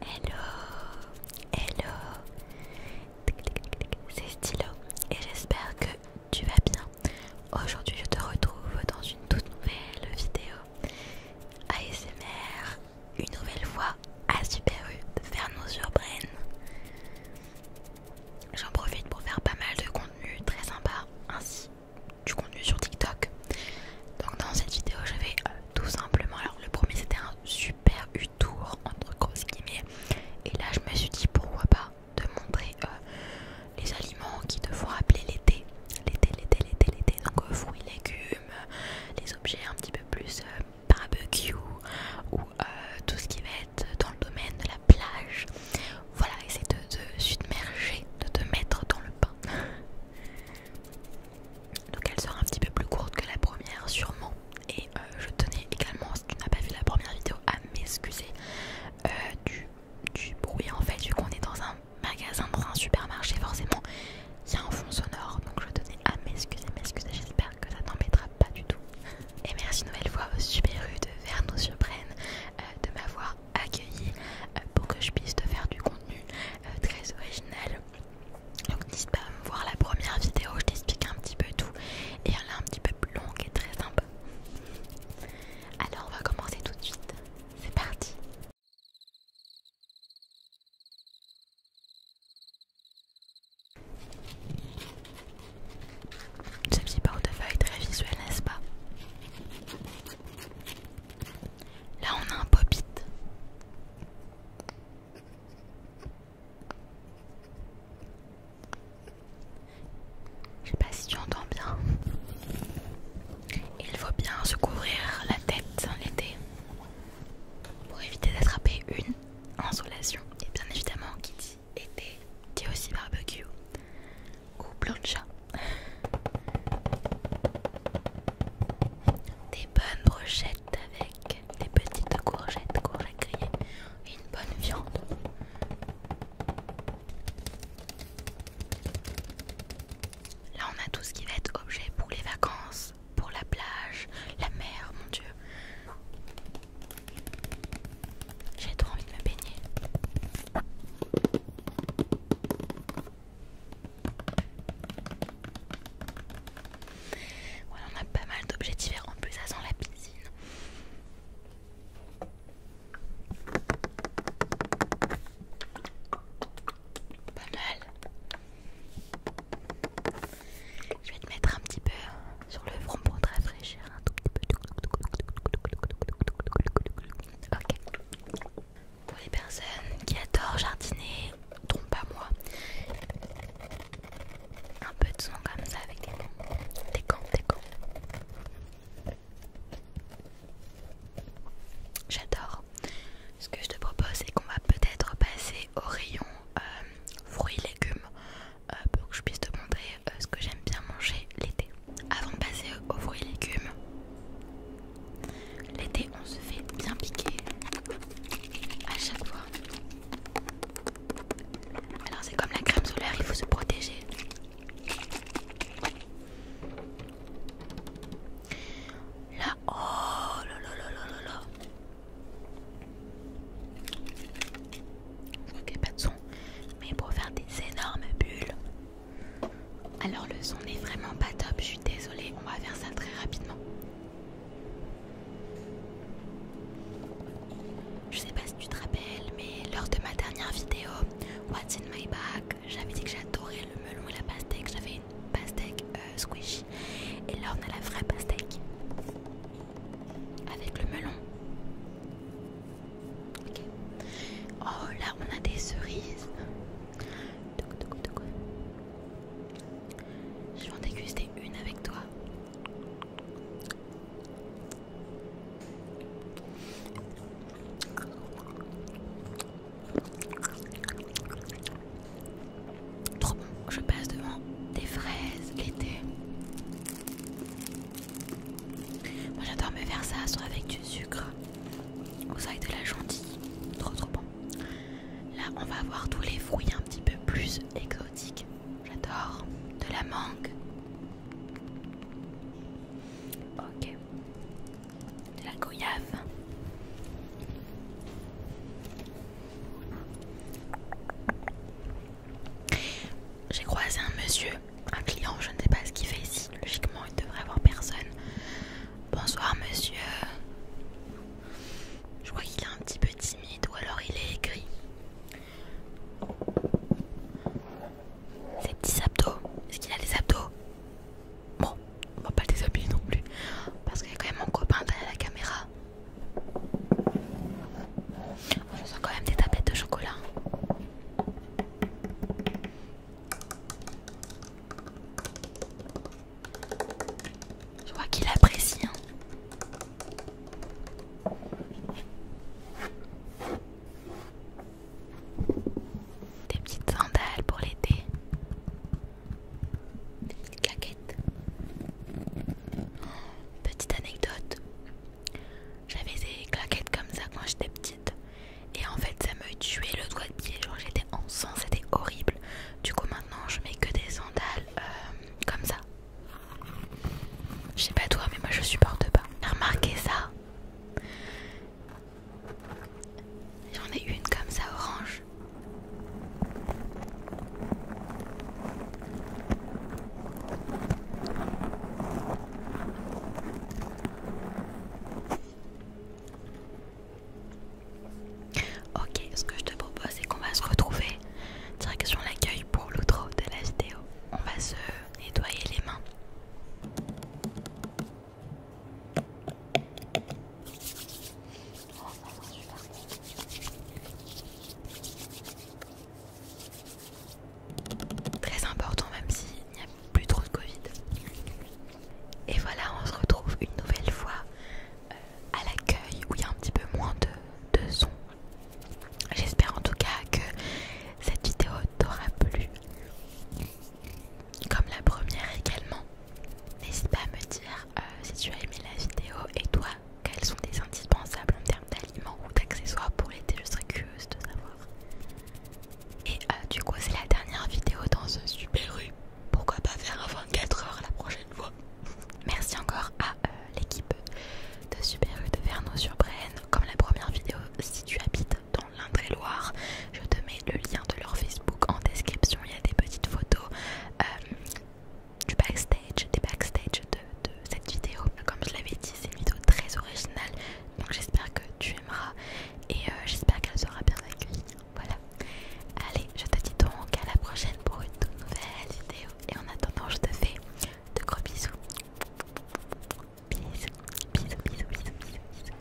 Hello, hello, c'est Stylo et j'espère que tu vas bien. Aujourd'hui, je te retrouve dans une toute nouvelle vidéo ASMR, une nouvelle fois à Super U de faire sur surprennes. J'en profite pour faire pas mal de contenu très sympa, ainsi du contenu sur TikTok. Donc dans cette vidéo, je vais euh, tout simplement. Alors le premier c'était un super U-tour entre grosses guillemets. Et là, je me suis dit pourquoi pas de montrer euh, les aliments qui te font rappeler l'été, l'été, l'été, l'été, l'été. Donc euh, fruits, légumes, les objets un petit peu plus barbecue ou tout ce qui va être dans le domaine de la plage. Voilà, essayer de te submerger, de te mettre dans le pain Donc elle sera un petit peu plus courte que la première sûrement. Et euh, je tenais également, si tu n'as pas vu la première vidéo, à m'excuser euh, du, bruit en fait, vu qu'on est dans un magasin, dans un supermarché, forcément il y a un fond sonore. Donc je tenais à m'excuser, m'excuser, j'espère que ça t'embêtera pas du tout. Et merci nouvelle fois au super rude de Vernos sur euh, de m'avoir accueillie euh, pour que je puisse te faire du contenu euh, très original. Donc n'hésite pas à me voir la première vidéo, je t'explique un petit peu tout et elle est un petit peu plus longue et très sympa. Alors on va commencer tout de suite. C'est parti ce petit portefeuille très visuel, n'est-ce pas Là, on a un pop -it. Je sais pas si tu entends bien. Il faut bien se couvrir la tête l'été pour éviter d'attraper une insolation. Et bien évidemment, Kitty était, dit aussi barbecue ou chat Des bonnes brochettes avec des petites courgettes, courgettes grillées et une bonne viande. Là, on a tout ce qui va être objet pour les vacances, pour la plage, la mer, mon dieu. J'ai trop envie de me baigner. Voilà, on a pas mal d'objets différents. En plus, ça sent la piscine. Je vais te mettre un petit peu sur le front pour te rafraîchir Ok. Pour les personnes qui adorent jardiner, trompe pas moi, un peu de son comme ça avec des gants, des gants, des gants. J'adore. Ce que je te propose, c'est qu'on va peut-être passer au rayon euh, fruits, légumes, euh, pour que je puisse te montrer euh, ce que j'aime bien manger l'été avant de passer aux fruits et légumes. L'été, on se fait bien piquer à chaque fois. Alors, c'est comme la crème solaire, il faut se protéger. Là, oh là là pas de son, mais pour faire des énormes bulles. Alors le son n'est vraiment pas top, je suis désolée, on va faire ça très rapidement. Je sais pas si tu te rappelles, mais lors de ma dernière vidéo, What's in my bag, j'avais dit que j'adorais le melon et la pastèque, j'avais une pastèque euh, squishy, et là on a la vraie pastèque avec le melon. Oh là, on a des cerises. Je vais en déguster une avec toi. Trop bon, je passe devant des fraises l'été. Moi j'adore me faire ça, soit avec du sucre ou soit avec de la gentille. Trop trop bon. Là on va avoir tous les fruits un petit peu plus exotiques. J'adore. De la mangue. Ok. De la goyave. J'ai croisé un monsieur un client, je ne sais pas ce qu'il fait ici. Logiquement, il devrait avoir personne. Bonsoir, monsieur. Je crois qu'il est un petit peu timide ou alors il est aigri. Ses petits abdos, est-ce qu'il a des abdos Bon, on va pas le déshabiller non plus parce qu'il y a quand même mon copain derrière la caméra. On sens quand même des tablettes de chocolat. Je vois qu'il apprécie. Hein. Des petites sandales pour l'été. Des petites claquettes. Petite anecdote. J'avais des claquettes comme ça quand j'étais petite. Et en fait, ça me tuait le doigt de pied. Genre, j'étais en sang, c'était horrible. Du coup, maintenant, je mets que des sandales euh, comme ça. Je sais pas toi, mais moi je supporte pas. Remarquez ça. J'en ai une comme ça, orange. Ok, ce que je te propose, c'est qu'on va se retrouver sur l'accueil pour l'outro de la vidéo. On va se nettoyer les mains. Très important même s'il n'y a plus trop de Covid. Et voilà, on se retrouve une nouvelle fois euh, à l'accueil où il y a un petit peu moins de, son. J'espère en tout cas que cette vidéo t'aura plu. Comme la première également. N'hésite pas à me dire euh, si tu as aimé la vidéo et toi, quels sont tes indispensables en termes d'aliments ou d'accessoires pour l'été, je serais curieuse de savoir. Et euh, du coup, c'est la dernière vidéo dans ce super rue. Pourquoi pas faire un 24 h la prochaine fois Merci encore à euh, l'équipe de Super U de Vernon-sur-Brenne. Comme la première vidéo, si tu habites dans l'Indre-et-Loire, je te mets le lien de leur Facebook en description. Il y a des petites photos euh, du backstage, des backstage de de, cette vidéo. Comme je l'avais dit, c'est une vidéo très originale, donc j'espère que tu aimeras et euh, j'espère qu'elle sera bien accueillie. Voilà. Allez, je te dis donc à la prochaine pour une toute nouvelle vidéo. Et en attendant, je te fais de gros Bisous, bisous, bisous, bisous, bisous. bisous.